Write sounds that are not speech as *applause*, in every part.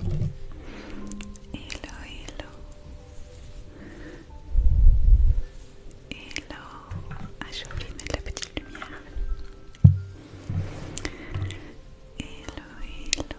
Hello, hello. Hello. Ah, j'ai oublié de mettre la petite lumière. Hello, hello. Hello,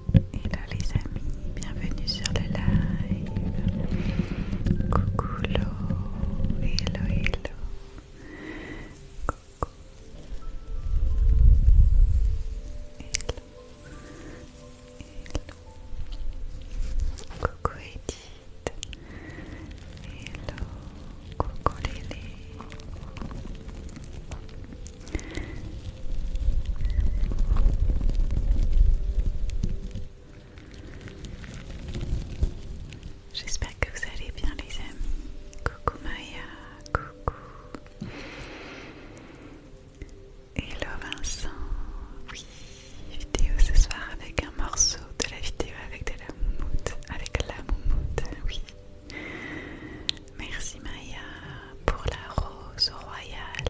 Et là les amis, bienvenue sur le live. Coucou hello hello. Coucou. Hello. Hello. Coucou Edith. Hello. Coucou Lélé. J'espère que vous allez bien les amis. Coucou Maya, coucou. Hello Vincent. Oui, vidéo ce soir avec un morceau de la vidéo avec de la moumoute. Avec la moumoute, oui. Merci Maya pour la rose royale,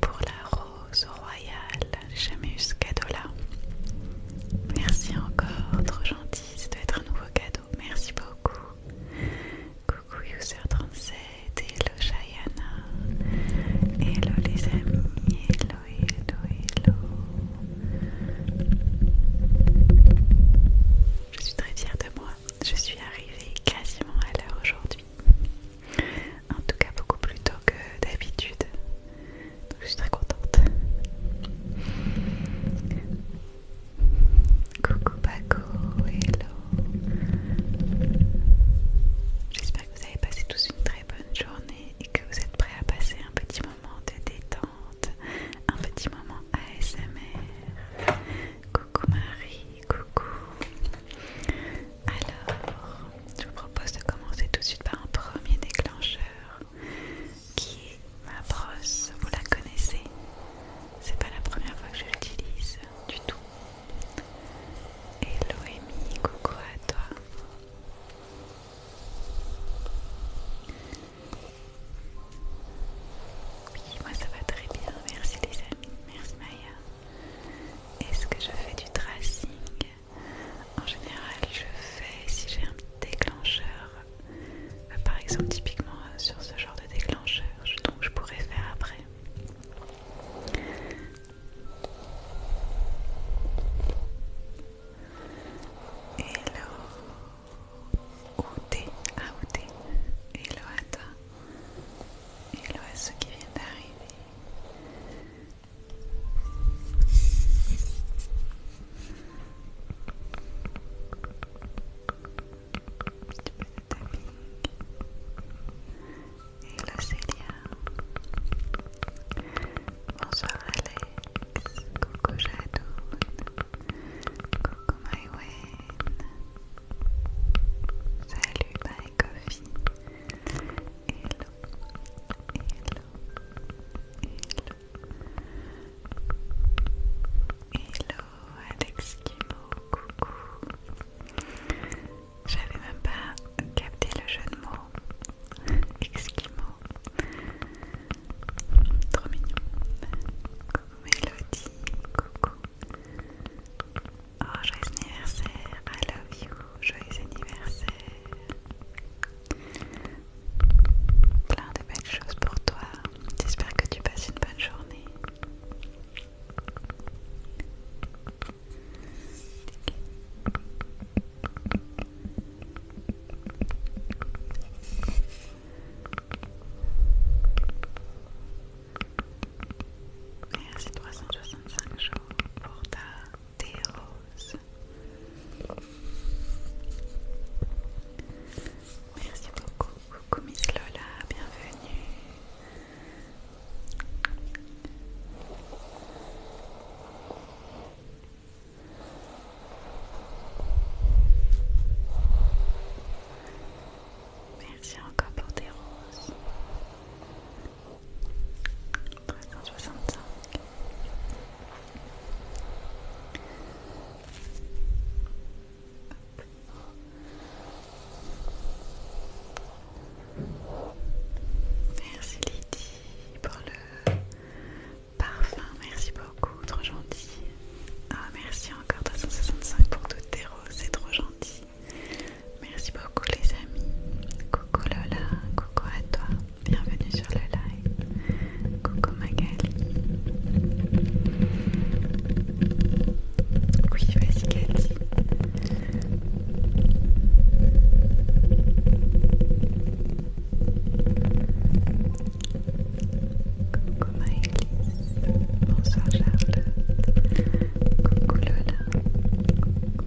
pour la rose royale. J'ai jamais eu ce cadeau-là. Merci encore, trop gentil, ça doit être un nouveau cadeau. Merci beaucoup. Coucou User37, hello Shayana, hello les amis, hello, hello, hello. Je suis très fière de moi, je suis arrivée quasiment à l'heure aujourd'hui. En tout cas, beaucoup plus tôt que d'habitude. Donc, je suis très contente. Coucou Baco hello. J'espère que vous avez passé tous une très bonne journée et que vous êtes prêts à passer un petit moment de détente, un petit moment ASMR. Coucou Marie, coucou. Alors, je vous propose de commencer tout de suite par un premier déclencheur qui est ma brosse. Vous la connaissez C'est pas la première fois que je l'utilise du tout. Hello Amy, coucou à toi. Oui, moi ça va très bien, merci les amis, merci Maya. Est-ce que je fais du tracing En général, je fais si j'ai un déclencheur, euh, par exemple, typiquement euh, sur ce genre de déclencheur, donc je pourrais faire après. Hello Outé, Outé, ah, hello à toi, hello à ceux qui vient d'arriver et là Célia. Bonsoir Alex. Coucou Jadoun. Coucou Maïwen. Salut Bye Coffee hello hello, hello, hello, Alex Kimo, coucou J'avais même pas capté le jeu de mots Kimo, Trop mignon Coucou Mélodie, coucou Oh, joyeux anniversaire, I love you, joyeux anniversaire. Plein de belles choses pour toi. J'espère que tu passes une bonne journée. Merci 365 jours pour ta dérose. Merci beaucoup, coucou Miss Lola, bienvenue. Merci encore pour tes roses. 365 Merci Lydie pour le parfum, merci beaucoup, trop gentil. Ah merci encore 365 pour toutes tes roses, c'est trop gentil. Merci beaucoup les amis. Coucou Lola, coucou à toi. Bienvenue sur le live. Coucou Magali. Oui, vas-y Cathy. Coucou Maëlys. Bonsoir Charlotte. Coucou Lola. Coucou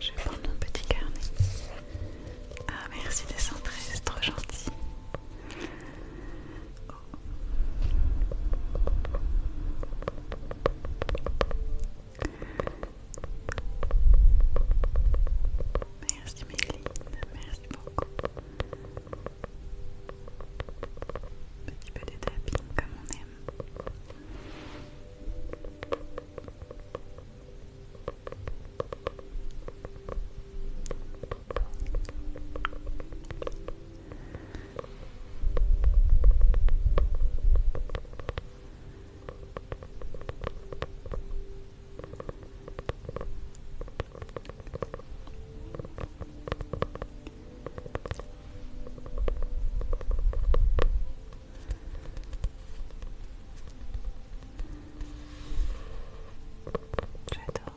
je vais prendre mon petit carnet. Ah, merci des c'est trop gentil. Merci Méline, merci beaucoup. Petit peu de tapping comme on aime. J'adore.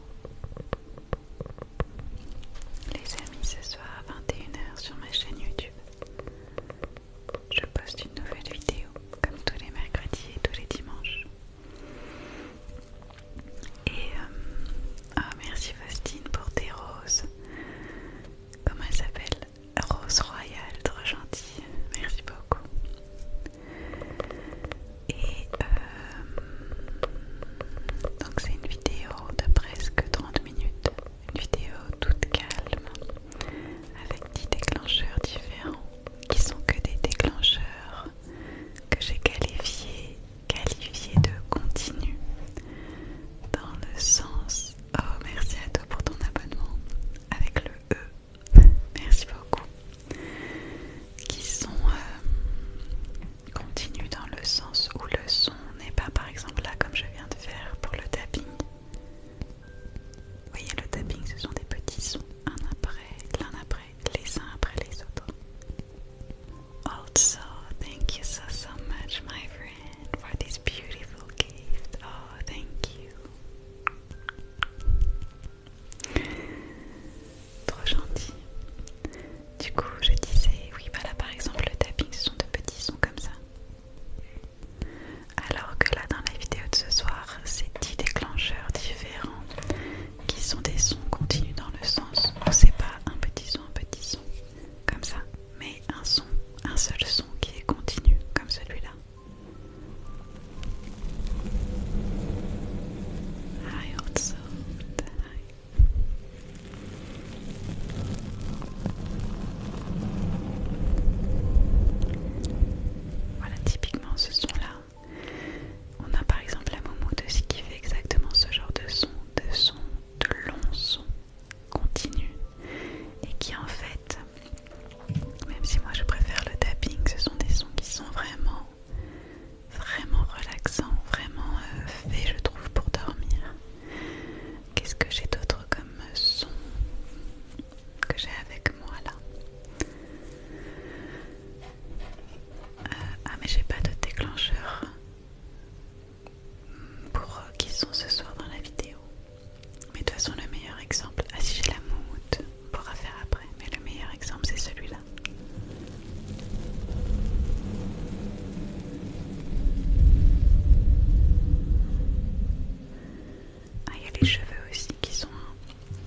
Les amis, ce soir à 21h sur ma chaîne YouTube, je poste une nouvelle vidéo comme tous les mercredis et tous les dimanches. Et euh, ah, merci Faustine pour tes roses. Comment elle s'appelle Rose Royale, trop gentille. Merci beaucoup. Et euh, donc c'est une vidéo de presque 30 minutes. Une vidéo toute calme avec 10 déclencheurs différents qui sont que des déclencheurs que j'ai qualifié, qualifié de continu dans le sens oh merci à toi pour ton abonnement avec le E merci beaucoup qui sont euh, dans le sens où le son n'est pas par exemple là comme je viens de faire pour le tapping vous voyez le tapping ce sont des petits sons un après l'un après les uns après les autres. Also, thank you so so much, my friend, for this beautiful gift. Oh, thank you. Trop gentil. Du coup, je disais, oui, voilà, par exemple, le tapping, ce sont de petits sons comme ça. Alors que là, dans la vidéo de ce soir, c'est 10 déclencheurs différents qui sont des sons continus dans le sens où c'est pas un petit son, un petit son, comme ça, mais un son, un seul son qui est continu, comme celui-là. Voilà typiquement ce son là on a par exemple la momoudouse qui fait exactement ce genre de son, de son, de long son continu et qui en fait, même si moi je préfère le tapping, ce sont des sons qui sont vraiment, vraiment relaxants, vraiment euh, faits je trouve pour dormir. Qu'est-ce que j'ai d'autre comme son que j'ai avec moi là euh, ah mais j'ai pas de déclencheur pour euh, qui sont ce soir dans la vidéo. Mais de toute façon le meilleur exemple, ah si j'ai la moumoute, on pourra faire après, mais le meilleur exemple c'est celui-là. Ah il y a les cheveux aussi qui sont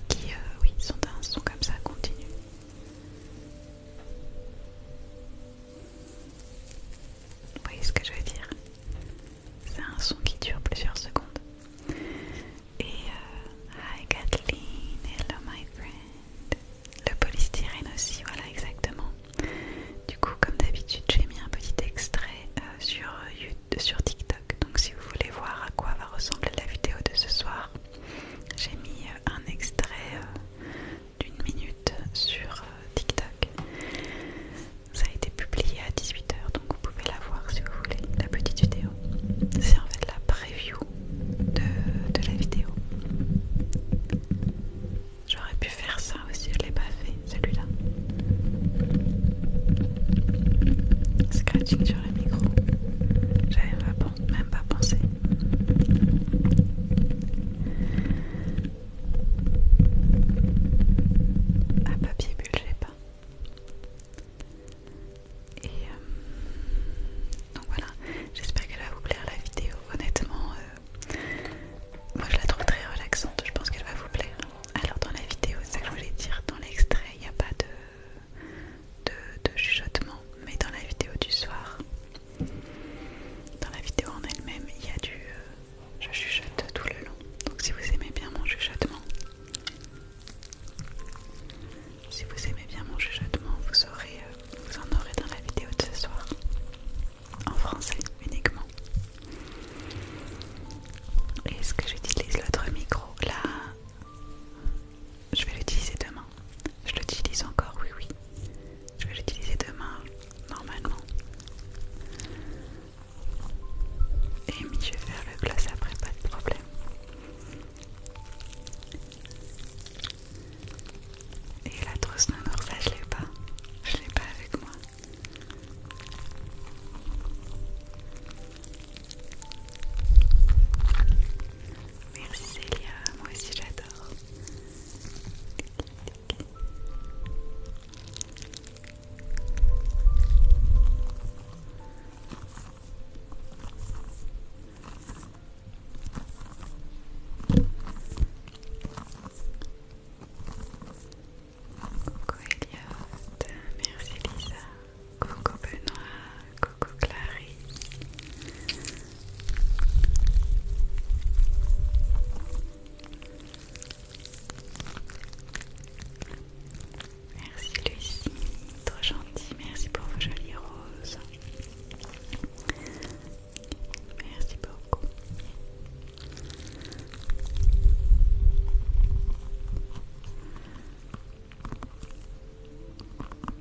qui euh, oui sont, sont comme ça continu. Vous voyez ce que je veux dire C'est un son qui dure plusieurs secondes. Et euh, Hi Kathleen, hello my friend. Le polystyrène aussi, voilà exactement. Du coup, comme d'habitude, j'ai mis un petit extrait euh, sur, euh, sur TikTok. Donc si vous voulez voir à quoi va ressembler la vidéo de ce soir, j'ai mis euh, un extrait euh, d'une minute sur euh, TikTok. Ça a été publié à 18h, donc vous pouvez la voir si vous voulez, la petite vidéo. C'est en fait la preview de, la vidéo. J'aurais pu faire ça aussi, je l'ai pas fait, celui-là. Scratching sur le micro. J'avais pas même pas pensé à papier bulle, pas. Et euh, donc voilà, j'espère qu'elle va vous plaire la vidéo. Honnêtement, euh, moi je la trouve très relaxante, je pense qu'elle va vous plaire. Alors, dans la vidéo, c'est ça que je voulais dire, dans l'extrait, il n'y a pas de de, chuchotement, mais dans la vidéo du soir, dans la vidéo en elle-même, il y a du... Euh, je chuchote tout le long. Donc si vous aimez bien mon chuchotement, si vous aimez bien mon chuchotement, vous, aurez, euh, vous en aurez dans la vidéo de ce soir. En français uniquement. Est-ce que j'utilise l'autre micro Là, je vais l'utiliser demain. Je l'utilise encore, oui, oui. Je vais l'utiliser demain, normalement. Et je vais faire le glace après, pas de problème. Et la trousse non ça je l'ai pas. Je l'ai pas avec moi. Merci Célia, moi aussi j'adore. Coucou Elliot, merci Lisa. Coucou Benoît, coucou Clarisse. Merci Lucie, trop gentil, merci pour vos jolies roses. Merci beaucoup.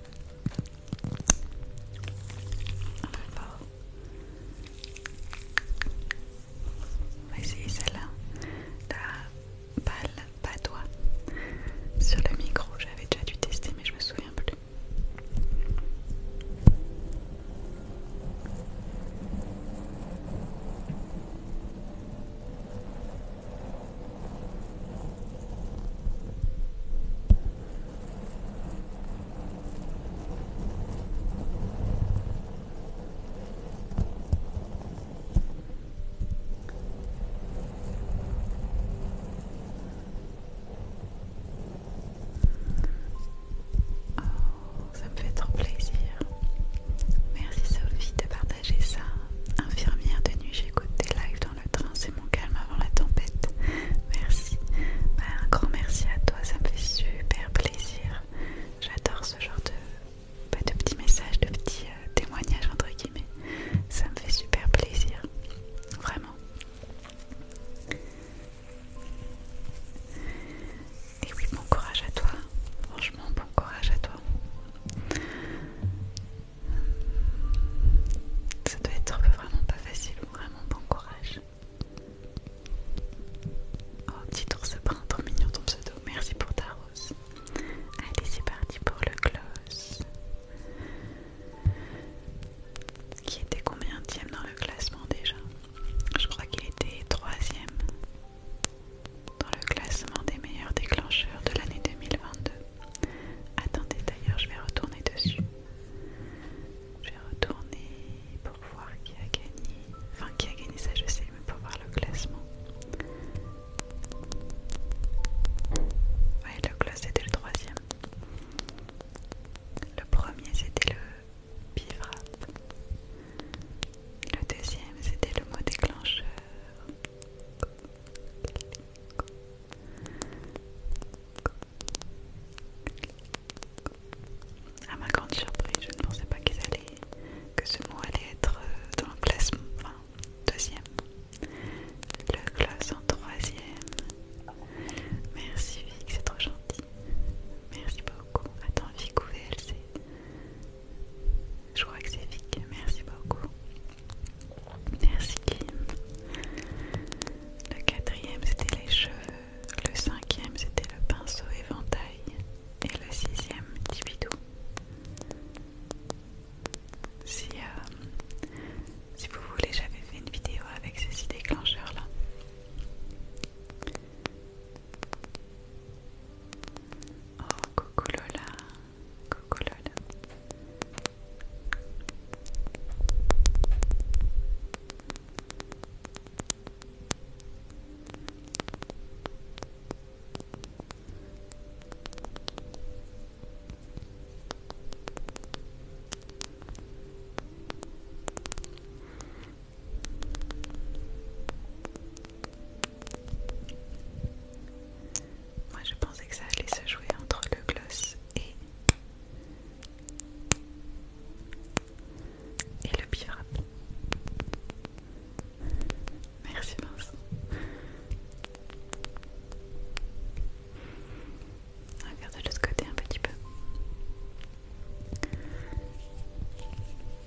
On va essayer celle-là. La balle toi Sur le micro, j'avais déjà dû tester, mais je me souviens plus. Oh, ça me fait trop plaisir. Merci Sophie de partager ça. Infirmière de nuit, j'écoute tes lives dans le train c'est mon calme avant la tempête. Merci. Bah, un grand merci à toi, ça me fait super plaisir. J'adore ce genre de, bah, de petits messages, de petits euh, témoignages entre guillemets. Ça me fait super plaisir. Vraiment. Et oui, bon courage à toi. Franchement, bon courage à toi. Ça doit être vraiment pas facile, vraiment bon courage. Oh, petit ours brun, trop mignon ton pseudo. Merci pour ta rose. Allez, c'est parti pour le close. Qui était combien tième dans le classement déjà Je crois qu'il était troisième dans le classement des meilleurs déclencheurs de l'année 2022. Attendez d'ailleurs, je vais retourner dessus. Je vais retourner pour voir qui a gagné. Enfin, qui a gagné ça, je sais, mais pour voir le classement. Ouais, le classement c'était le troisième. Le premier c'était le bivrap. Le deuxième c'était le mot déclencheur. A ma grande surprise, je ne pensais pas que ce mot allait être euh, dans le classement, enfin, deuxième, le classe en troisième. Merci Vic, c'est trop gentil. Merci beaucoup. Attends, Vic ou VLC Je crois que c'est Vic, merci beaucoup. Merci Kim. Le quatrième, c'était les cheveux. Le cinquième, c'était le pinceau éventail. Et le sixième, petit Si, euh, si vous voulez, j'avais fait une vidéo avec ces six déclencheurs-là. Oh, coucou Lola, Lola. Moi je pensais que ça allait se jouer entre le gloss et et le pire. Merci Vincent. Regarde de ce côté un petit peu.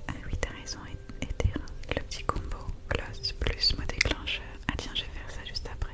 Ah oui, t'as raison, t'es Le petit combo gloss plus mot déclencheur. Ah tiens, je vais faire ça juste après.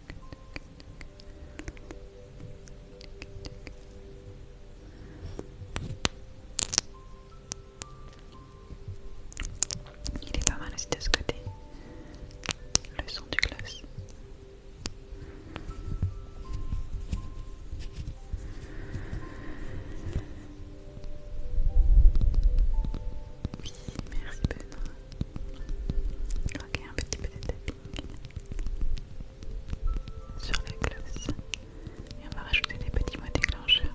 Il est pas mal aussi de ce côté. Le son du gloss. Oui, merci Benoît. Ok, un petit peu de tapping sur la gloss. Et on va rajouter des petits mots déclencheurs.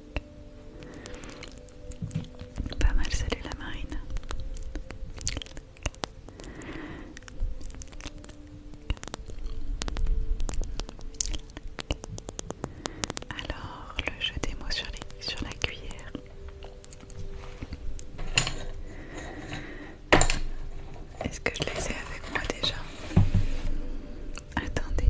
Pas mal, salut la marine. Alors, le jeu des mots sur, sur la cuillère. Est-ce que je les ai avec moi déjà Attendez.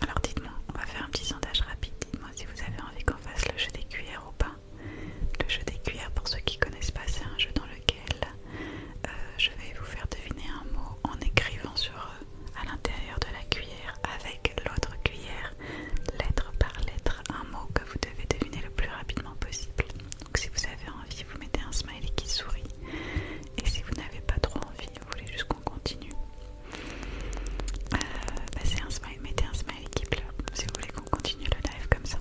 alors dites-moi, on va faire un petit sondage rapide. Dites-moi si vous avez envie qu'on fasse le jeu des cuillères ou pas. Le jeu des cuillères, pour ceux qui connaissent pas, c'est un jeu dans lequel euh, je vais vous faire deviner un mot en écrivant sur euh, à l'intérieur de la cuillère avec l'autre cuillère, lettre par lettre, un mot que vous devez deviner le plus rapidement possible. Donc si vous avez envie, vous mettez un smiley qui sourit. Et si vous n'avez pas trop envie, vous voulez juste continue. Euh, bah, c'est un smile, mettez un smile qui pleure si vous voulez qu'on continue le live comme ça.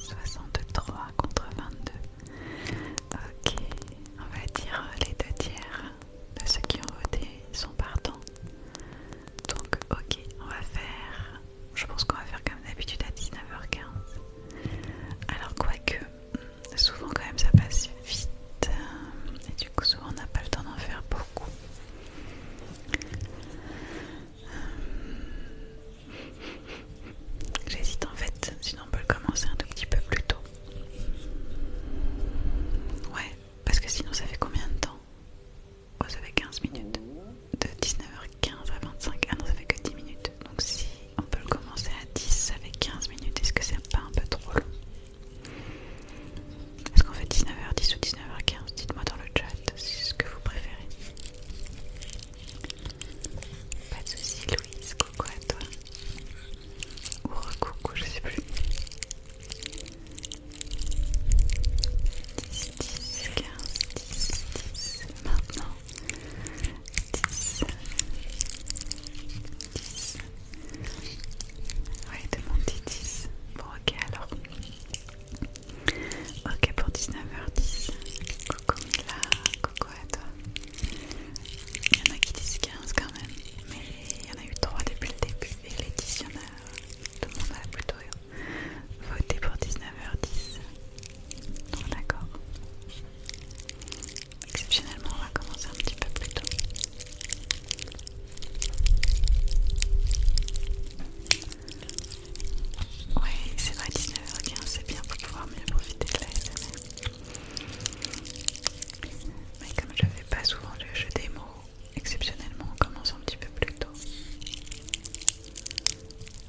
63 contre 22. Ok, on va dire les deux tiers de ceux qui ont voté sont partants. Donc ok, on va faire je pense qu'on va faire comme d'habitude à 19h15. Alors, quoique, souvent quand même ça passe vite, euh, et du coup, souvent on n'a pas le temps d'en faire beaucoup. Euh, j'hésite en fait, sinon on peut le commencer un tout petit peu plus tôt. Ouais, parce que sinon ça fait combien de temps vous avez 15 minutes. De 19h15 à 25. Ah non, ça fait que 10 minutes. Donc si on peut le commencer à 10, avec 15 minutes. Est-ce que c'est pas un peu trop long Est-ce qu'on fait 19h10 ou 19h15 Dites-moi dans le chat ce que vous préférez. Pas de soucis, Louise. Coucou à toi. Ou re-coucou, je sais plus. 15, 10 maintenant 10 10 Ouais, demandez 10 Bon, ok alors Ok pour 19h10 Coucou Mila, coucou à toi Il y en a qui disent 15 quand même Mais il y en a eu 3 depuis le début Et les 10 il y en a, tout le monde a plutôt voter pour 19h10. d'accord. Exceptionnellement, on va commencer un petit peu plus tôt. Oui, c'est vrai, 19h15, c'est bien pour pouvoir mieux profiter de la SM. Mais comme je fais pas souvent le jeu des mots, exceptionnellement, on commence un petit peu plus tôt.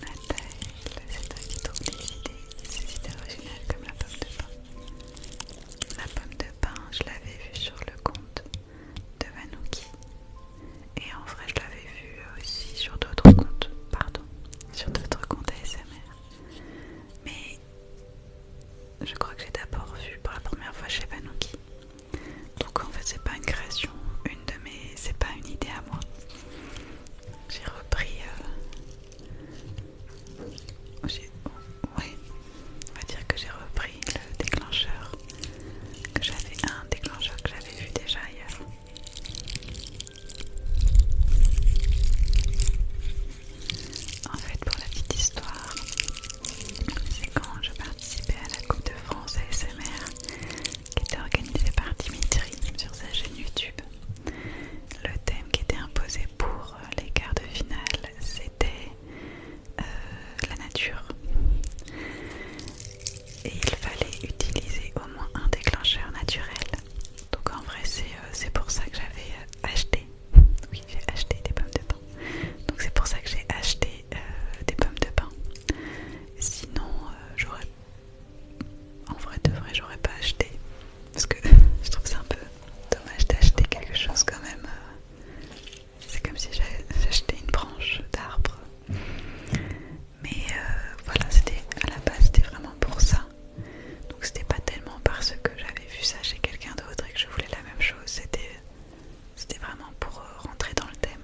La tête, c'est toi qui tourne les idées, idées originales comme la pomme de pain. La pomme de pain, je l'avais vue sur le compte de Manouki Et en vrai, je l'avais vue aussi sur d'autres comptes, pardon, sur d'autres comptes ASMR. Mais je crois que j'ai d'abord vu pour la première fois chez Banouki. Donc en fait c'est pas une création, une de mes, c'est pas une idée à moi. J'ai repris, euh, Oui, on va dire que j'ai repris le déclencheur que j'avais, un déclencheur que j'avais vu déjà ailleurs. En fait, pour la petite histoire, c'est quand je participais à la Coupe de France ASMR qui était organisée par Dimitri sur sa chaîne YouTube. Le thème qui était imposé pour euh, les quarts de finale, c'était euh, la nature. Et il fallait utiliser au moins un déclencheur naturel. Donc en vrai, c'est euh, pour ça que j'avais acheté oui, j'ai acheté des pommes de pain. Donc c'est pour ça que j'ai acheté euh, des pommes de pain. Sinon, euh, j'aurais... En vrai de vrai, j'aurais pas acheté. Parce que *laughs* je trouve ça un peu dommage d'acheter quelque chose quand même. Euh. C'est comme si acheté une branche d'arbre. Mais voilà, c'était à la base, c'était vraiment pour ça. Donc c'était pas tellement parce que j'avais vu ça chez quelqu'un d'autre et que je voulais la même chose. C'était c'était vraiment pour euh, rentrer dans le thème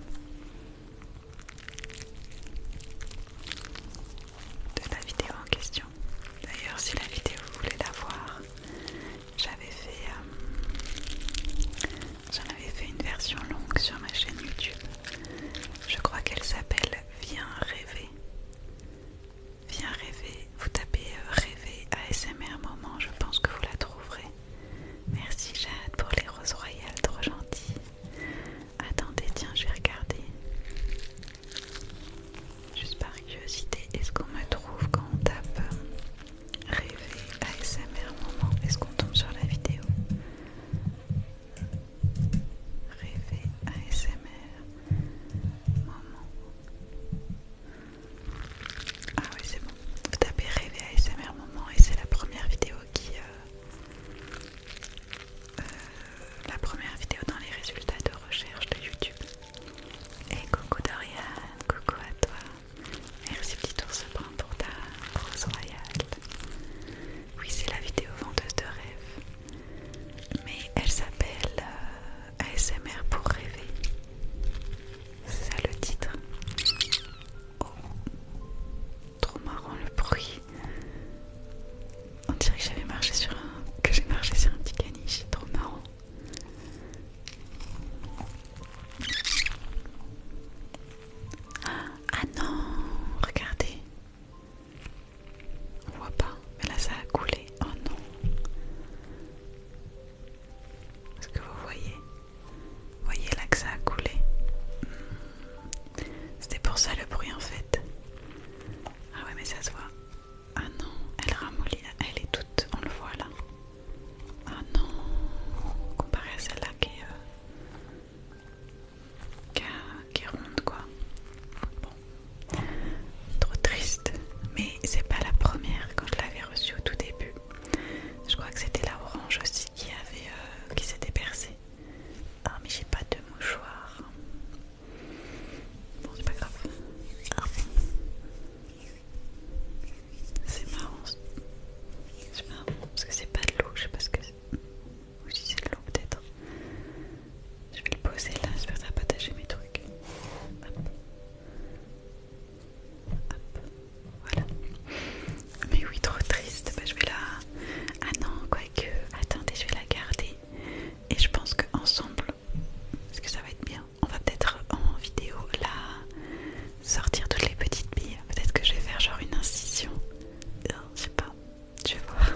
de la vidéo en question. D'ailleurs, si la vidéo vous voulez la voir, j'avais fait, euh, j'en avais fait une version longue sur ma chaîne YouTube. Je crois qu'elle s'appelle Viens rêver. Viens rêver, vous tapez euh, rêver ASMR moment, je pense que vous la trouverez. Merci Jade pour les roses royales, trop gentilles. Attendez, tiens, je vais regarder. Juste par curiosité, est-ce qu'on me trouve quand on tape euh, rêver ASMR moment Est-ce qu'on tombe sur la vidéo Rêver ASMR moment. Ah oui c'est bon. Vous tapez rêver ASMR moment et c'est la première vidéo qui... Euh, euh, la première vidéo dans les résultats de recherche de YouTube. Et coucou Dorian, coucou à toi. Merci petit ours pour ta rose royale. Oui c'est la vidéo vendeuse de rêve. Mais elle s'appelle... Euh, ASMR pour rêver. C'est ça le titre. Oh. trop marrant le bruit. On dirait que j'avais marché sur un, que j'ai marché sur un petit caniche. Trop marrant. Ah, ah non, regardez. On voit pas, mais là ça a coulé. Oh non. Est-ce que vous voyez Voyez là que ça a coulé. Hmm. C'était pour ça le bruit en fait. Ah ouais mais ça se voit. Ah non, elle ramollit, elle est toute, on le voit là. Ah non, comparé à celle-là qui, euh, qui, est ronde quoi. Bon, trop triste. Mais c'est pas la première quand je l'avais reçue au tout début. Je crois que c'était la orange aussi qui avait euh, s'était percée. Ah mais j'ai pas de mouchoir. Bon c'est pas grave. Ah. C'est marrant. C'est marrant parce que c'est pas de l'eau, je sais pas ce que c'est. Ou si c'est de l'eau peut-être. Je vais le poser là, j'espère que ça va pas tâcher mes trucs voilà. Mais oui, trop triste. Bah, je vais la. Ah non, que Attendez, je vais la garder. Et je pense qu'ensemble, parce que ça va être bien, on va peut-être en vidéo la sortir toutes les petites billes. Peut-être que je vais faire genre une incision. je sais pas, je vais voir.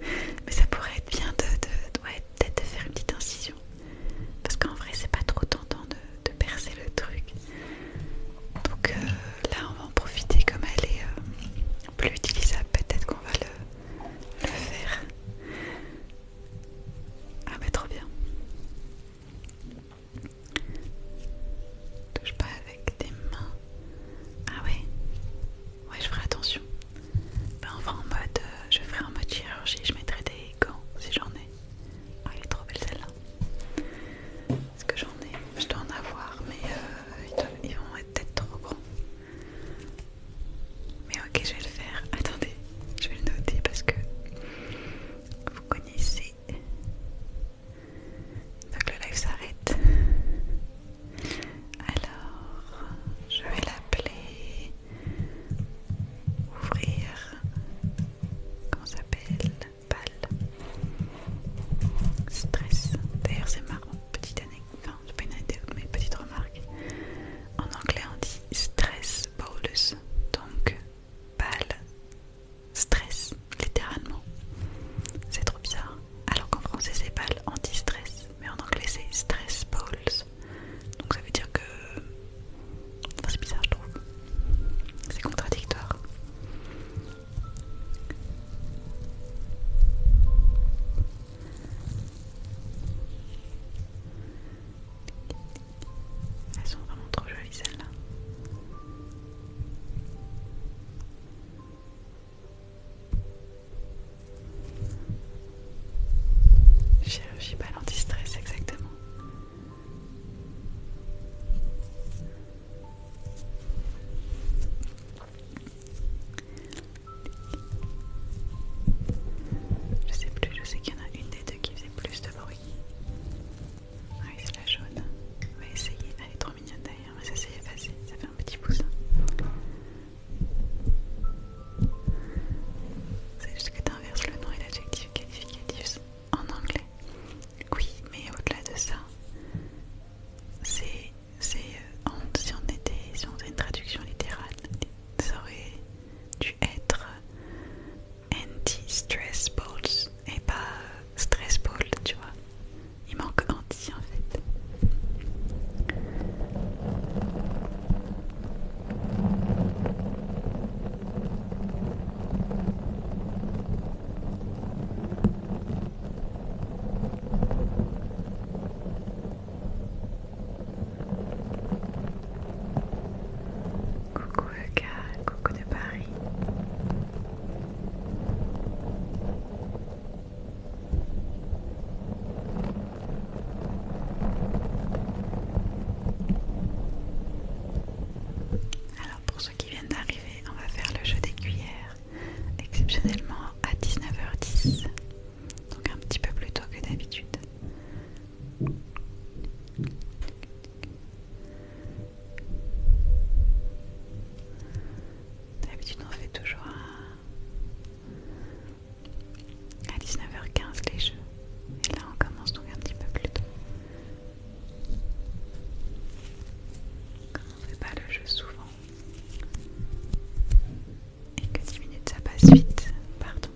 *laughs* Mais ça pourrait être bien de, de, ouais, peut-être de faire une petite incision parce qu'en vrai c'est pas trop tentant de, percer le truc donc euh, là on va en profiter comme elle est euh, plus utilisable peut-être qu'on va le, faire ah bah trop bien touche pas avec tes mains ah ouais ouais je ferai attention ben, on va en mode euh, je ferai en mode chirurgie je mettrai des gants si j'en ai ah, il est trop belle celle-là. Est-ce que j'en ai Je dois en avoir, mais euh, ils vont être peut-être trop grands. Mais ok, je vais le faire. *laughs* Attendez, je vais le noter parce que vous connaissez. Donc le live s'arrête. Alors, je vais l'appeler ouvrir comment s'appelle ball stress d'ailleurs c'est marrant petite année non c'est pas remarque en anglais on dit stress balls. donc pâle stress littéralement c'est trop bizarre alors qu'en français c'est pâle anti-stress mais en anglais c'est stress balls donc ça veut dire que. c'est bizarre, je trouve. C'est contradictoire. Elles sont vraiment trop jolies celles-là. Chirurgie pas stress exactement. Je sais plus, je sais qu'il y en a une des deux qui faisait plus de bruit. Ah oui, c'est la jaune. On va essayer. Elle est trop mignonne d'ailleurs, mais ça s'est passer, Ça fait un petit poussin. C'est juste que tu inverses le nom et l'adjectif qualificatif en anglais. Oui, mais au-delà de ça, c'est c'est euh, si on était si on faisait une traduction littérale, ça aurait dû être euh, anti-stress balls et pas euh, stress balls, tu vois. Il manque anti en fait. Coucou Eka, coucou de Paris. Alors pour ceux qui viennent d'arriver, on va faire le jeu des cuillères exceptionnellement à 19h10. Donc un petit peu plus tôt que d'habitude. D'habitude on fait toujours à, 19h15 les jeux. Et là, on commence donc un petit peu plus tôt. Comme on ne fait pas le jeu souvent et que 10 minutes ça passe vite, pardon,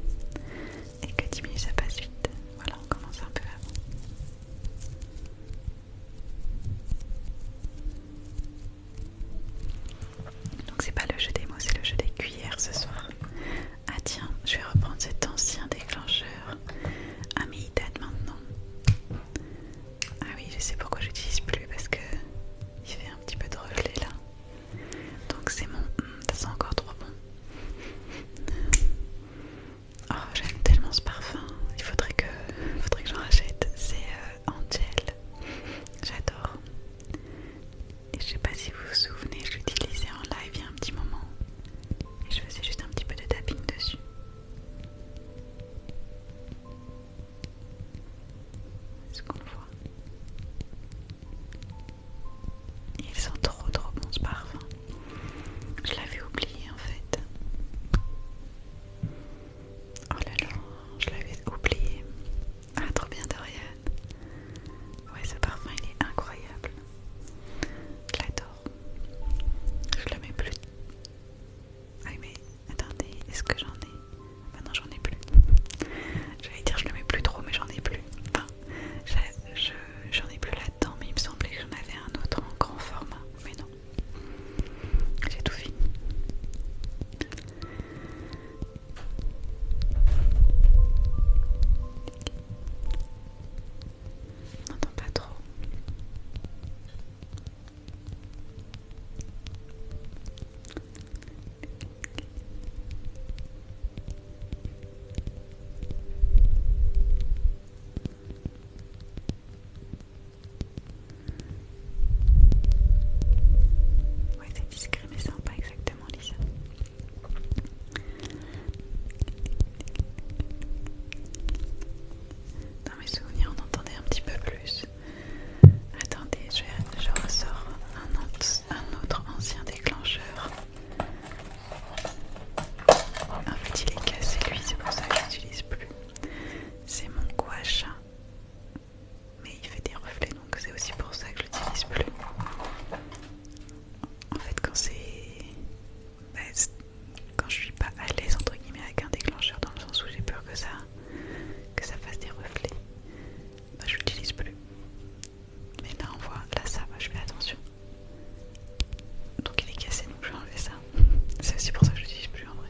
et que 10 minutes ça passe vite, voilà, on commence un peu avant. Donc c'est pas le jeu des mots, c'est le jeu des cuillères ce soir. Ah tiens, je vais reprendre cet ancien déclencheur. à ah, mais date maintenant. Ah oui, je sais pourquoi je l'utilise plus parce que il fait un petit peu de relais là. Donc c'est mon... Ça hmm sent encore trop bon. *laughs* Oh j'aime tellement ce parfum. Il faudrait que, j'en rachète. C'est euh, Angel, J'adore. Et je sais pas si vous vous souvenez, je l'utilisais en live il y a un petit moment et je faisais juste un petit peu de tapping dessus. Est-ce qu'on le voit Il sent trop trop bon ce parfum. Je l'avais oublié en fait. Oh là là, je l'avais oublié. Ah trop bien Dorian. Ouais ce parfum il est incroyable. Je l'adore. Je le mets plus. Ah mais attendez, est-ce que j'en ai Bah non, j'en ai plus. J'allais dire je le mets plus trop, mais j'en ai plus. Enfin, j'en je, ai plus là-dedans, mais il me semblait que j'en avais un autre en grand format. Mais non, j'ai tout fini. On n'entend pas trop. Ouais, c'est discret mais c'est pas exactement lisse. Dans mes souvenirs, on entendait un petit peu plus. Attendez, je, ressors un autre, un autre ancien déclencheur. En fait, il est cassé, lui, c'est pour ça que je l'utilise plus. C'est mon gouache. Mais il fait des reflets, donc c'est aussi pour ça que je l'utilise plus. En fait, quand c'est bah, quand je suis pas à l'aise entre guillemets avec un déclencheur dans le sens où j'ai peur que ça que ça fasse des reflets bah, je l'utilise plus mais là on voit là ça va je fais attention donc il est cassé donc je vais enlever ça *laughs* c'est aussi pour ça que je l'utilise plus en vrai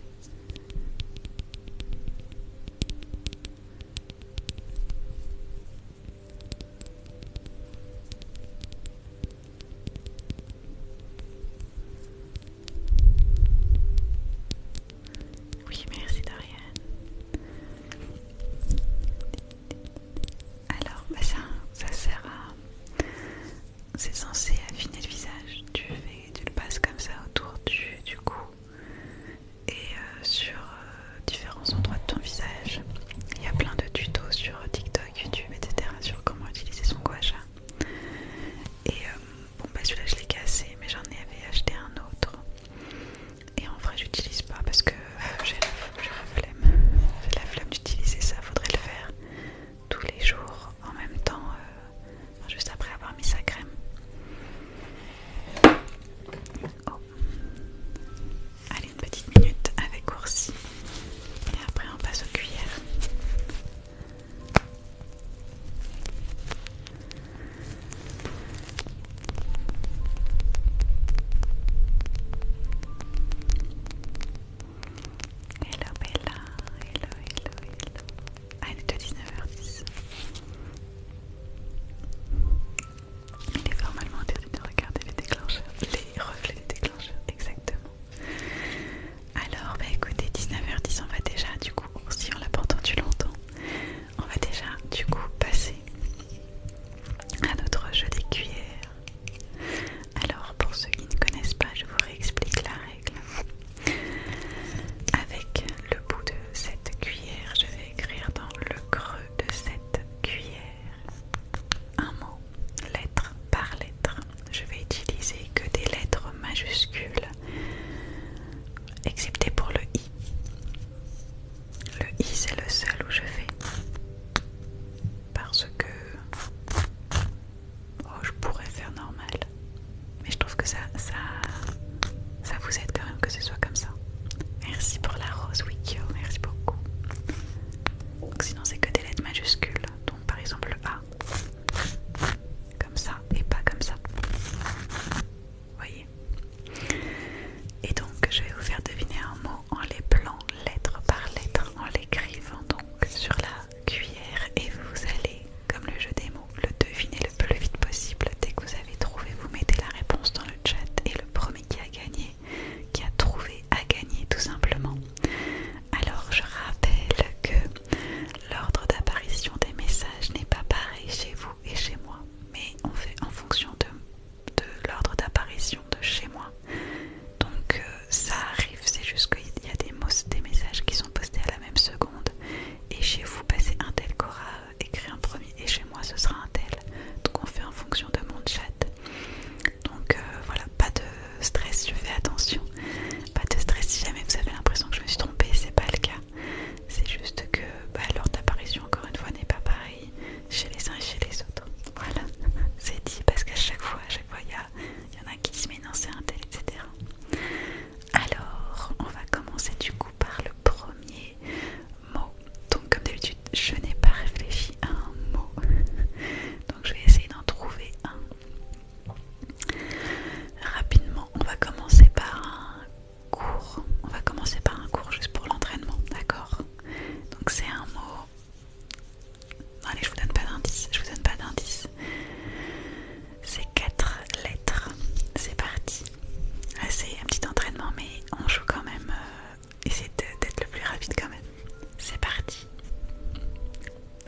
oui, merci Dorian Alors, bah, ça, ça sert à... C'est censé affiner le visage. Tu, tu le passes comme ça autour du, cou et euh, sur euh, différents endroits de ton visage. Il y a plein de tutos sur TikTok YouTube, etc. sur comment utiliser son gouacha. Et euh, bon, bah celui-là je l'ai cassé, mais j'en avais acheté un autre. Et en vrai, j'utilise pas parce que euh, j'ai la flemme. J'ai la flemme d'utiliser ça, faudrait le faire tous les jours en même temps, euh, juste après avoir mis sa crème. Oh. Allez, une petite minute avec Oursi. Et après, on passe aux cuillères. Hello Bella, hello, hello, hello. Ah, il est de 19h10. Il est normalement interdit de regarder les déclencheurs, les reflets des déclencheurs exactement. Alors, bah écoutez, 19h10, on va déjà, du coup, si on l'a pas du longtemps, on va déjà, du coup, passer à notre jeu des cuillères. Alors, pour ceux qui ne connaissent pas, je vous réexplique la règle. Avec le bout de cette cuillère, je vais écrire dans le creux de cette cuillère un mot, lettre par lettre. Je vais utiliser que des lettres majuscules, excepté pour le I. Le I, c'est le seul où je fais. Parce que... Oh, je pourrais faire normal. Mais je trouve que ça, ça, ça vous aide quand même que ce soit comme ça. Merci pour la rose, Wikio. Merci beaucoup sinon, c'est que des lettres majuscules. Donc, par exemple, A. Comme ça et pas comme ça. Vous voyez Et donc, je vais vous faire deviner un mot en les plant, lettre par lettre, en l'écrivant donc sur la cuillère. Et vous allez, comme le jeu des mots, le deviner le plus vite possible. Dès que vous avez trouvé, vous mettez la réponse dans le chat et le premier qui a gagné qui a trouvé à gagner tout simplement. Alors je rappelle que l'ordre d'apparition des messages n'est pas pareil chez vous et chez moi, mais on fait en fonction de, l'ordre d'apparition de chez moi. Donc euh, ça arrive, c'est juste qu'il y a des, des messages qui sont postés à la même seconde. Et chez vous, passez bah, un tel qu'aura écrit un premier, et chez moi, ce sera un tel. Donc on fait en fonction de mon chat donc euh, voilà, pas de stress, je fais attention. Pas de stress si jamais vous avez l'impression que je me suis trompée, c'est pas le cas. C'est juste que l'ordre bah, l'heure d'apparition, encore une fois, n'est pas pareil chez les uns et chez les autres. Voilà, *laughs* c'est dit parce qu'à chaque fois, à chaque fois, il y, en a qui se met, un tel, etc. Alors, on va commencer du coup par le premier mot. Donc, comme d'habitude, je n'ai pas réfléchi à un mot. *laughs* Donc je vais essayer d'en trouver un. Rapidement, on va commencer par un cours. On va commencer par un cours juste pour l'entraînement, d'accord Donc c'est un mot. allez, je vous donne pas d'indice. Je vous donne pas d'indice. C'est quatre lettres. C'est parti. C'est un petit entraînement, mais on joue quand même euh, Essayez d'être le plus rapide quand même. C'est parti.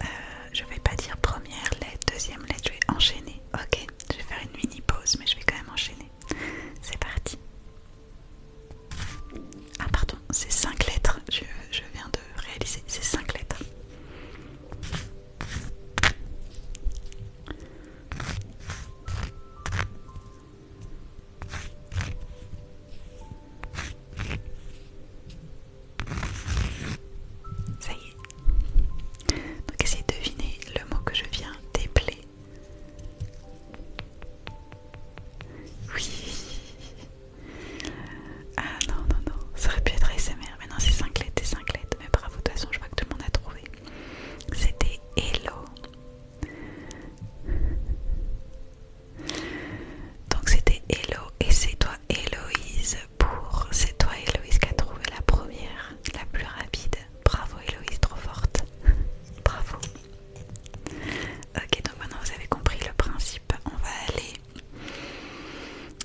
Euh, je vais pas dire première lettre, deuxième lettre, je vais enchaîner. Ok, je vais faire une mini pause, mais je vais quand même enchaîner. C'est parti. Ah pardon, c'est cinq lettres, je, viens de réaliser, c'est cinq lettres. Ça y est. Donc essayez de deviner le mot que je viens d'épeler. Oui. Ah non, non, non. Ça aurait pu être ASMR. Mais non, c'est 5 lettres, et 5 lettres. Mais bravo, de toute façon, je vois que tout le monde a trouvé. C'était Hello. Donc c'était Hello et c'est toi Héloïse pour c'est toi Héloïse qui a trouvé la première, la plus rapide. Bravo Héloïse, trop forte. *laughs* Bravo. Ok, donc maintenant vous avez compris le principe. On va aller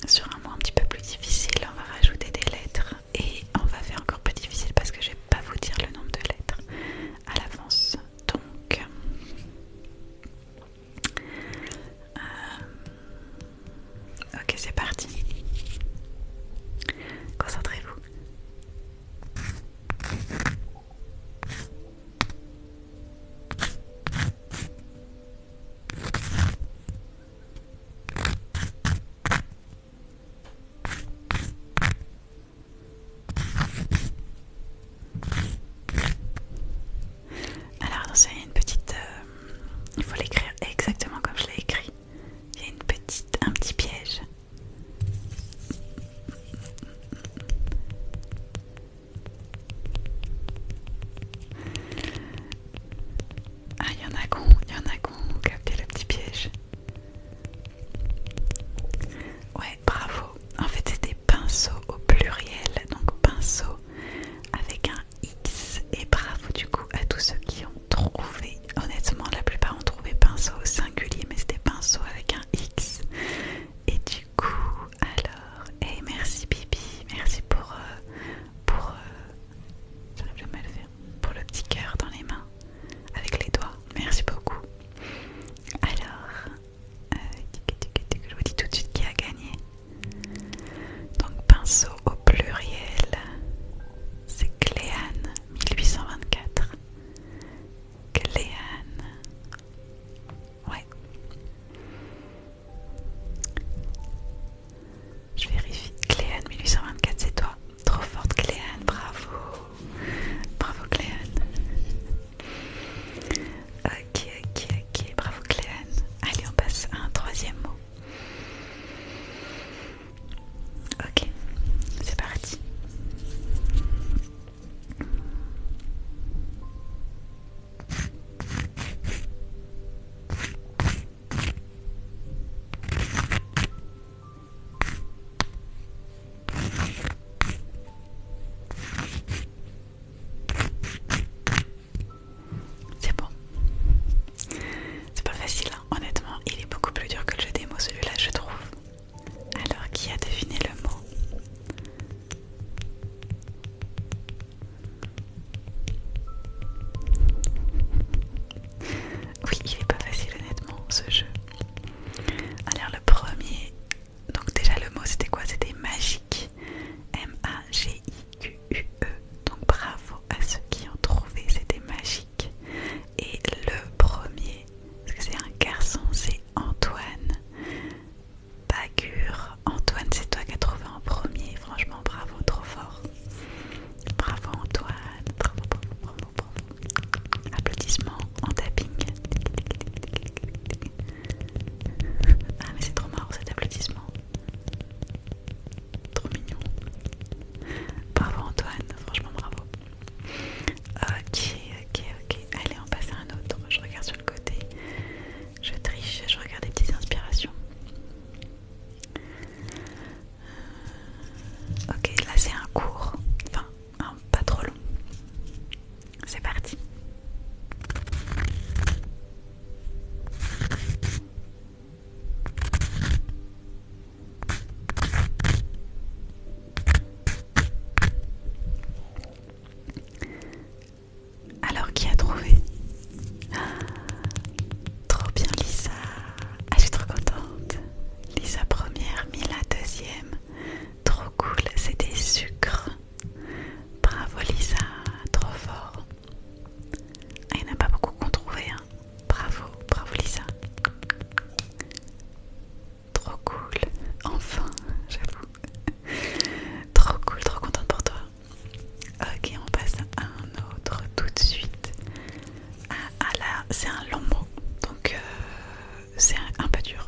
sur un mot un petit peu plus difficile. On va rajouter des lettres et on va faire encore plus difficile parce que je vais pas vous dire le nombre de lettres à l'avance. Donc euh, ok, c'est parti. Concentrez-vous. Alors attention, il y a une petite... Euh, il faut l'écrire exactement comme je l'ai écrit. Il y a une petite, un petit piège. Ah, il y en a qu'on, il y en a qu'on capté le petit piège. Ouais, bravo. En fait, c'était pinceau au pluriel, donc pinceau avec un X. Et bravo du coup à tous ceux qui ont trouvé. Honnêtement, la plupart ont trouvé pinceau au singulier, mais c'était pinceau avec un X. Et du coup, alors, et eh, merci Bibi, merci pour euh, pour euh, pour le petit cœur dans les mains avec les doigts. Merci beaucoup. Alors, euh, je vous dis tout de suite qui a gagné. Donc pinceau au pluriel, c'est Cléane 1824. Cléane. Ouais. Je vérifie. Cléane 1824, c'est toi. Trop forte Cléane, bravo. Bravo Cléane. Ok, ok, ok. Bravo Cléane. Allez, on passe à un troisième mot. Ok, c'est parti. C'est bon. C'est pas facile, hein. honnêtement, il est beaucoup plus dur que le jeu des mots celui-là, je trouve. Alors, qui a deviné le mot Oui, il est pas facile, honnêtement, ce jeu. Alors, le premier donc déjà le mot c'était quoi C'était magique. M-A-G-I-Q-U-E. Donc bravo à ceux qui ont trouvé, c'était magique. Et le premier, parce que c'est un garçon, c'est Antoine. Bagure Antoine, c'est toi qui as trouvé en premier. Franchement, bravo, trop fort. Bravo Antoine. Bravo, bravo, bravo, bravo. Applaudissements en tapping. Ah mais c'est trop marrant cet applaudissement. Trop mignon. Bravo Antoine, franchement bravo. Ok, ok, ok. Allez, on passe à un autre. Je regarde sur le côté. Je triche, je regarde des petites inspirations. Euh, ok, là c'est un cours. Enfin, pas trop long. C'est parti. Alors qui a trouvé *gasps* Trop bien Lisa Ah je suis trop contente Lisa première, Mila deuxième Trop cool, c'est des sucres Bravo Lisa, trop fort. Ah, il n'y en a pas beaucoup qu'on trouvait. Hein. Bravo, bravo Lisa. Trop cool. Enfin, j'avoue. trop cool, trop contente pour toi. Ok, on passe à un autre tout de suite. Ah, ah là, c'est un long mot, donc euh, c'est un peu dur.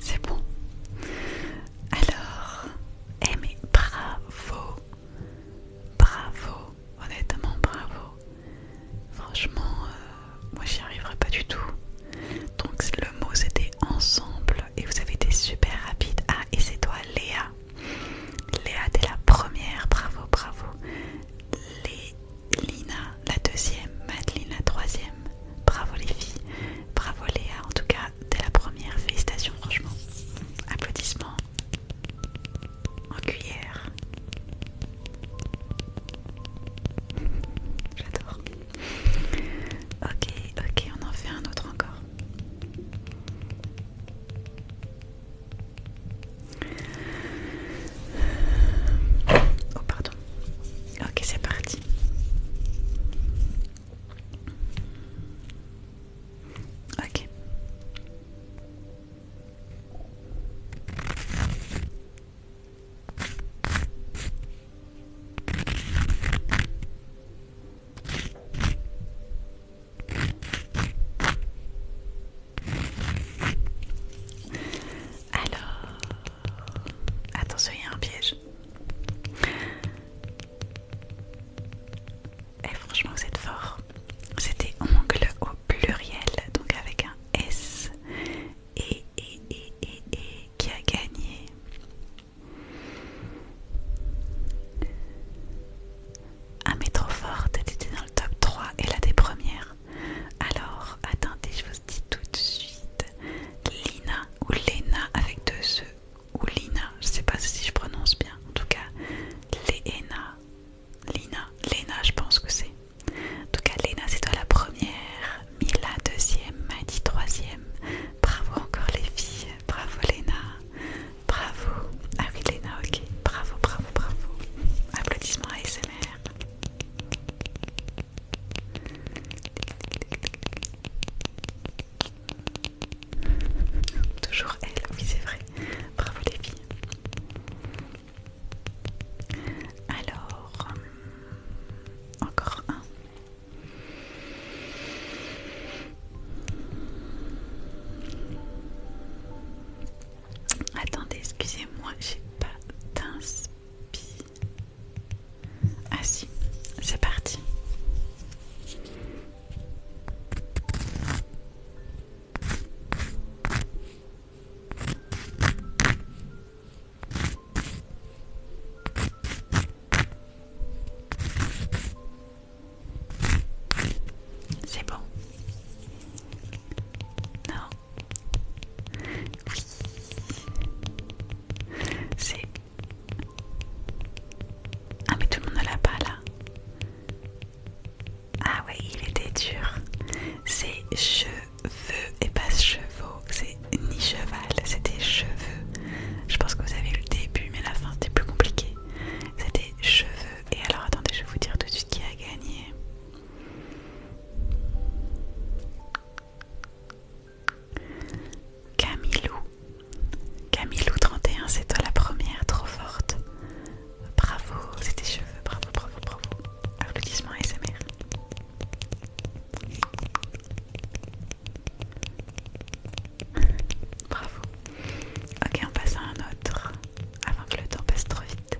C'est bon. Alors, eh mais bravo, bravo, honnêtement bravo. Franchement, euh, moi j'y arriverai pas du tout. Donc le mot c'était ensemble et vous avez été super rapide. Ah et c'est toi Léa. Léa, t'es la première, bravo, bravo. Les... Lina, la deuxième. Madeline la troisième. Bravo les filles. Bravo Léa, en tout cas, t'es la première. Félicitations, franchement. Applaudissements. En cuillère. J'adore. Ok, ok, on en fait un autre encore. Oh pardon. Ok, c'est parti. Ok. Alors, attention, il y a un piège. Et eh, franchement, vous êtes fort. C'était ongle au pluriel, donc avec un S. Et, et, et, et, et qui a gagné ah mais trop forte, était dans le top 3 et la des premières. Alors, attendez, je vous dis tout de suite. Lina ou Lena avec deux E ou Lina, je sais pas si je prononce bien. En tout cas, Lena, Lina, Lena, je pense que c'est. En tout cas, Lena, c'est toi la première, Mila deuxième, Maddy troisième. Bravo encore les filles, bravo Lena. Bravo. Ah oui, Léna, ok. Bravo, bravo, bravo. Applaudissements à Toujours elle, oui c'est vrai. Bravo les filles. Alors, hum, encore un. Attendez, excusez-moi, j'ai pas d'inspiration Ah si, c'est parti. C'est bon. Non. Oui. C'est... Ah mais tout le monde ne l'a pas là. Ah ouais, il était dur. C'est cheveux et pas chevaux. C'est ni cheval, c'était cheveux. Je pense que vous avez eu le début, mais la fin c'était plus compliqué. C'était cheveux. Et alors attendez, je vais vous dire tout de suite qui a gagné. Camilou. Camilou 31, c'est toi la première, trop forte. Bravo, c'était cheveux, bravo, bravo, bravo. Applaudissements ASMR. Bravo. Ok, on passe à un autre avant que le temps passe trop vite.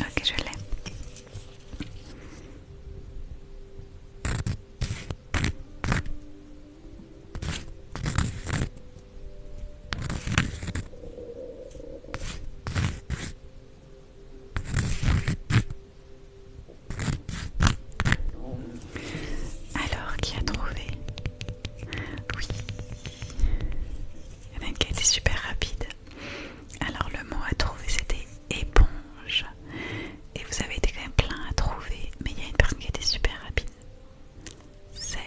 Ok, je l'ai. Alors, qui a trouvé Oui Il y en a une qui a été super rapide. Alors, le mot à trouver c'était éponge. Et vous avez été quand même plein à trouver, mais il y a une personne qui a été super rapide. C'est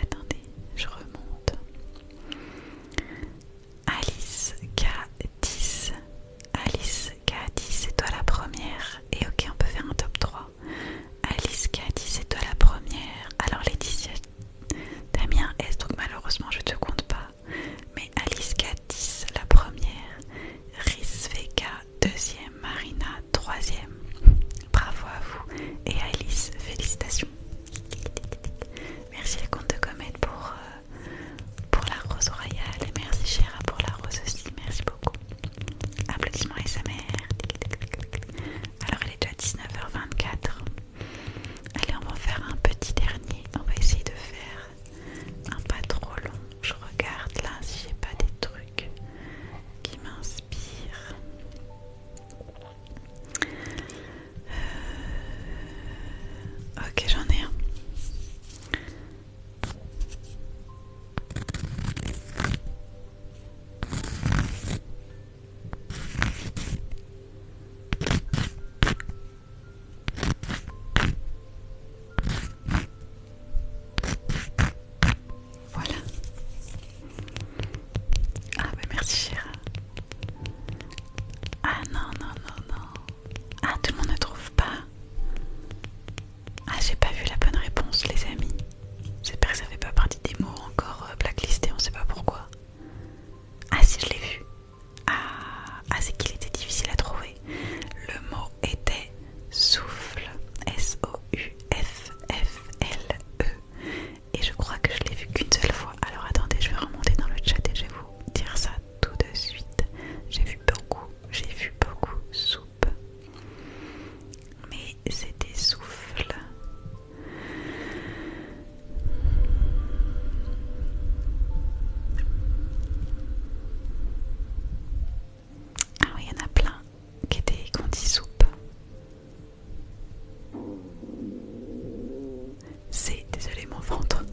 Attendez, je remonte. Alice K10. Alice K10, c'est toi la première. Et ok, on peut faire un top 3. Alice K10, c'est toi la première. Alors les t'as Damien S, donc malheureusement je te compte pas. Mais Alice K10, la première. Riz deuxième. Marina, troisième bravo à vous et à Alice, félicitations. Merci les compte de comète pour, euh, pour la rose royale et merci Chéra pour la rose aussi, merci beaucoup. Applaudissements à sa mère. Alors il est déjà 19h24. Allez, on va faire un petit dernier. On va essayer de faire un pas trop long. Je regarde là si j'ai pas des trucs qui m'inspirent. Euh, ok, j'en ai un. Voilà. Ah bah merci Chira Ah non, non, non, non. Ah tout le monde ne trouve pas. Ah j'ai pas vu la bonne réponse les amis. J'espère que ça fait pas partie des mots encore euh, blacklistés, on sait pas pourquoi. Ah si je l'ai vu. Ah, ah c'est qu'il était difficile à trouver. Le mot était souffle. S-O-U-F-F-L-E et je crois que je l'ai vu qu'une seule fois. Alors attendez, je vais remonter dans le chat et je vais vous dire ça tout de suite. J'ai vu beaucoup, j'ai vu beaucoup soupe, mais c'était souffle. Ah oui, il y en a plein qui était il soupe C'est, désolé mon ventre,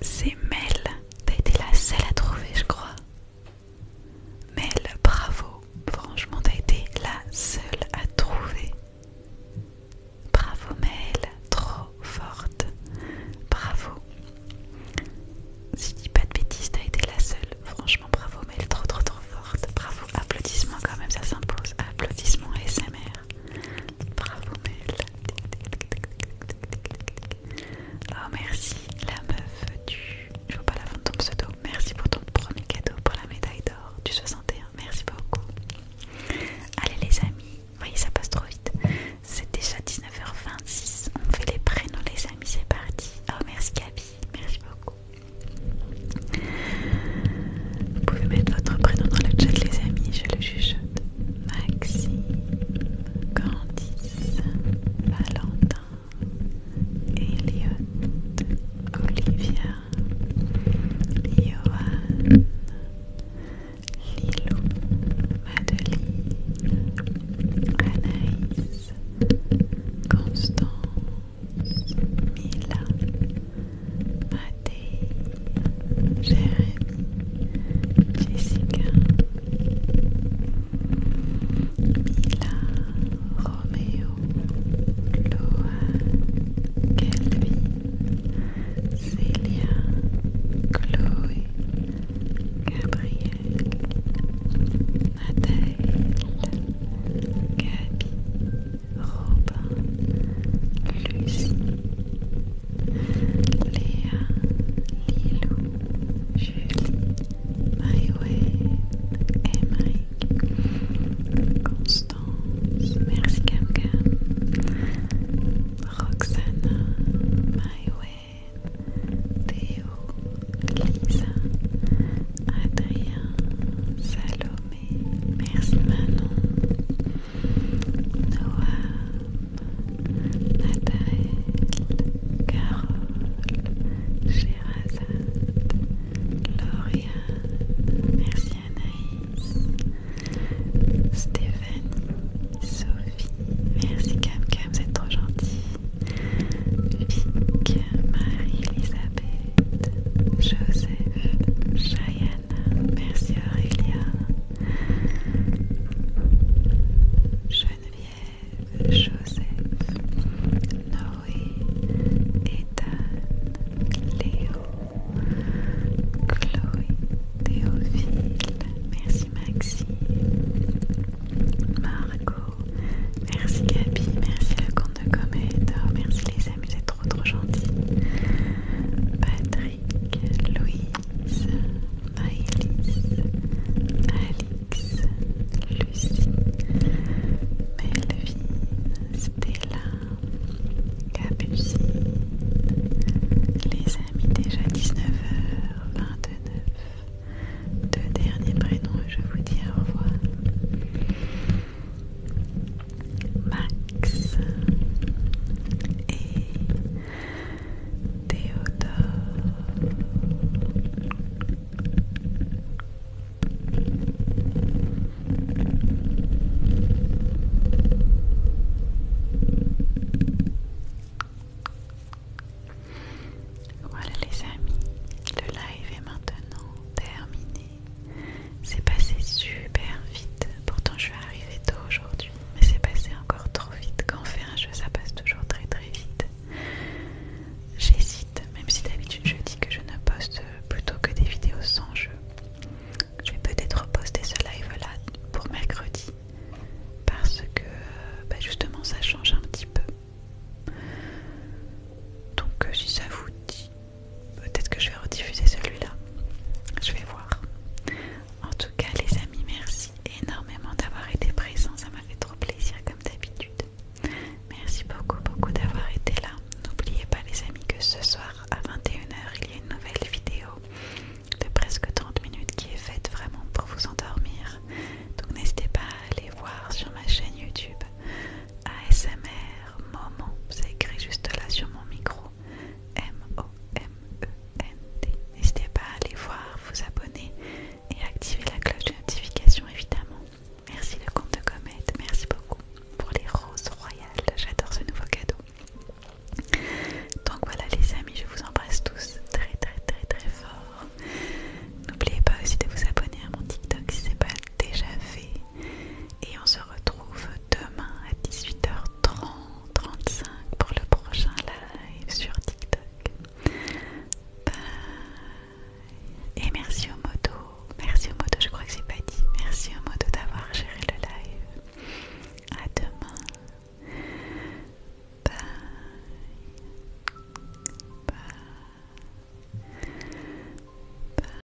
c'est Mel. T'as été la seule à trouver, je crois. Mel, bravo. Franchement, t'as été la seule à trouver. Bravo Mel, trop forte. Bravo. Si je dis pas de bêtises, t'as été la seule. Franchement bravo mais trop trop trop forte bravo applaudissements quand même ça s'impose applaudissements SMR bravo Mel oh merci la meuf du je vois pas la fin de ton pseudo merci pour ton premier cadeau pour la médaille d'or du 61 merci beaucoup allez les amis vous voyez ça passe trop vite c'est déjà 19h26 on fait les prénoms les amis c'est parti oh merci Gabi merci beaucoup vous pouvez mettre votre prénom dans le chat les amis, je le juge Maxime, Candice, Valentin, Elliot, Olivia, Johan, Lilo, Madeleine, Anaïs, Constance, Mila, Mathé, Jérémy, Jessica, Mila, Roméo, Loa, Kelvin, Célia, Chloé, Gabriel, Nathalie, Gabi, Robin, Lucie, Léa, Lilou, Julie, et Emeric, Constance, merci Cam Cam, Roxana, Maïwen, Théo, Lisa, Adrien, Salomé, Merci Manon, Noam, Nathalie, Carole, Gérazade, Lauriane, merci Anaïs, Stéphanie, Sophie, merci Cam Cam, vous êtes trop gentille. Vic, Marie-Elisabeth, Joseph, Cheyenne, merci Aurélia, Geneviève, Joseph, Noé, Ethan, Léo, Chloé, Théophile, merci Maxime, Margot, merci Gabi, merci le compte de comète, merci les amis trop gentil. Patrick, Louise, Maëlys, Alix, Lucie, Melvin, Stella, Capucine, les amis déjà 19h29. Deux derniers prénoms et je vous dis au revoir. Max et Théodore. Voilà les amis, le live est maintenant terminé. C'est passé super vite. Pourtant, je suis arrivée tôt aujourd'hui, mais c'est passé encore trop vite. Quand on fait un jeu, ça passe toujours très très vite. J'hésite, même si d'habitude je dis que je ne poste plutôt que des vidéos sans jeu. Je vais peut-être poster ce live-là pour mercredi, parce que euh, bah, justement ça change un petit peu. Donc euh, si ça vous dit, Peut-être que je vais rediffuser celui-là. Je vais voir. En tout cas, les amis, merci énormément d'avoir été présents. Ça m'a fait trop plaisir comme d'habitude. Merci beaucoup, beaucoup d'avoir été là. N'oubliez pas les amis que ce soir à 21h, il y a une nouvelle vidéo de presque 30 minutes qui est faite vraiment pour vous endormir. Donc n'hésitez pas à aller voir sur ma chaîne YouTube. ASMR Moment, c'est écrit juste là sur mon micro. M-O-M-E-N-T. N'hésitez pas à aller voir, vous abonner et activer la cloche de notification évidemment. Merci le compte de Comète, merci beaucoup pour les roses royales, j'adore ce nouveau cadeau. Donc voilà les amis, je vous embrasse tous très très très très fort. N'oubliez pas aussi de vous abonner à mon TikTok si ce n'est pas déjà fait. Et on se retrouve demain à 18h30, 35 pour le prochain live sur TikTok. Bye. Et merci au moto, merci au moto, je crois que c'est pas dit. Merci au moto d'avoir géré le live. À demain. Bye. Bye.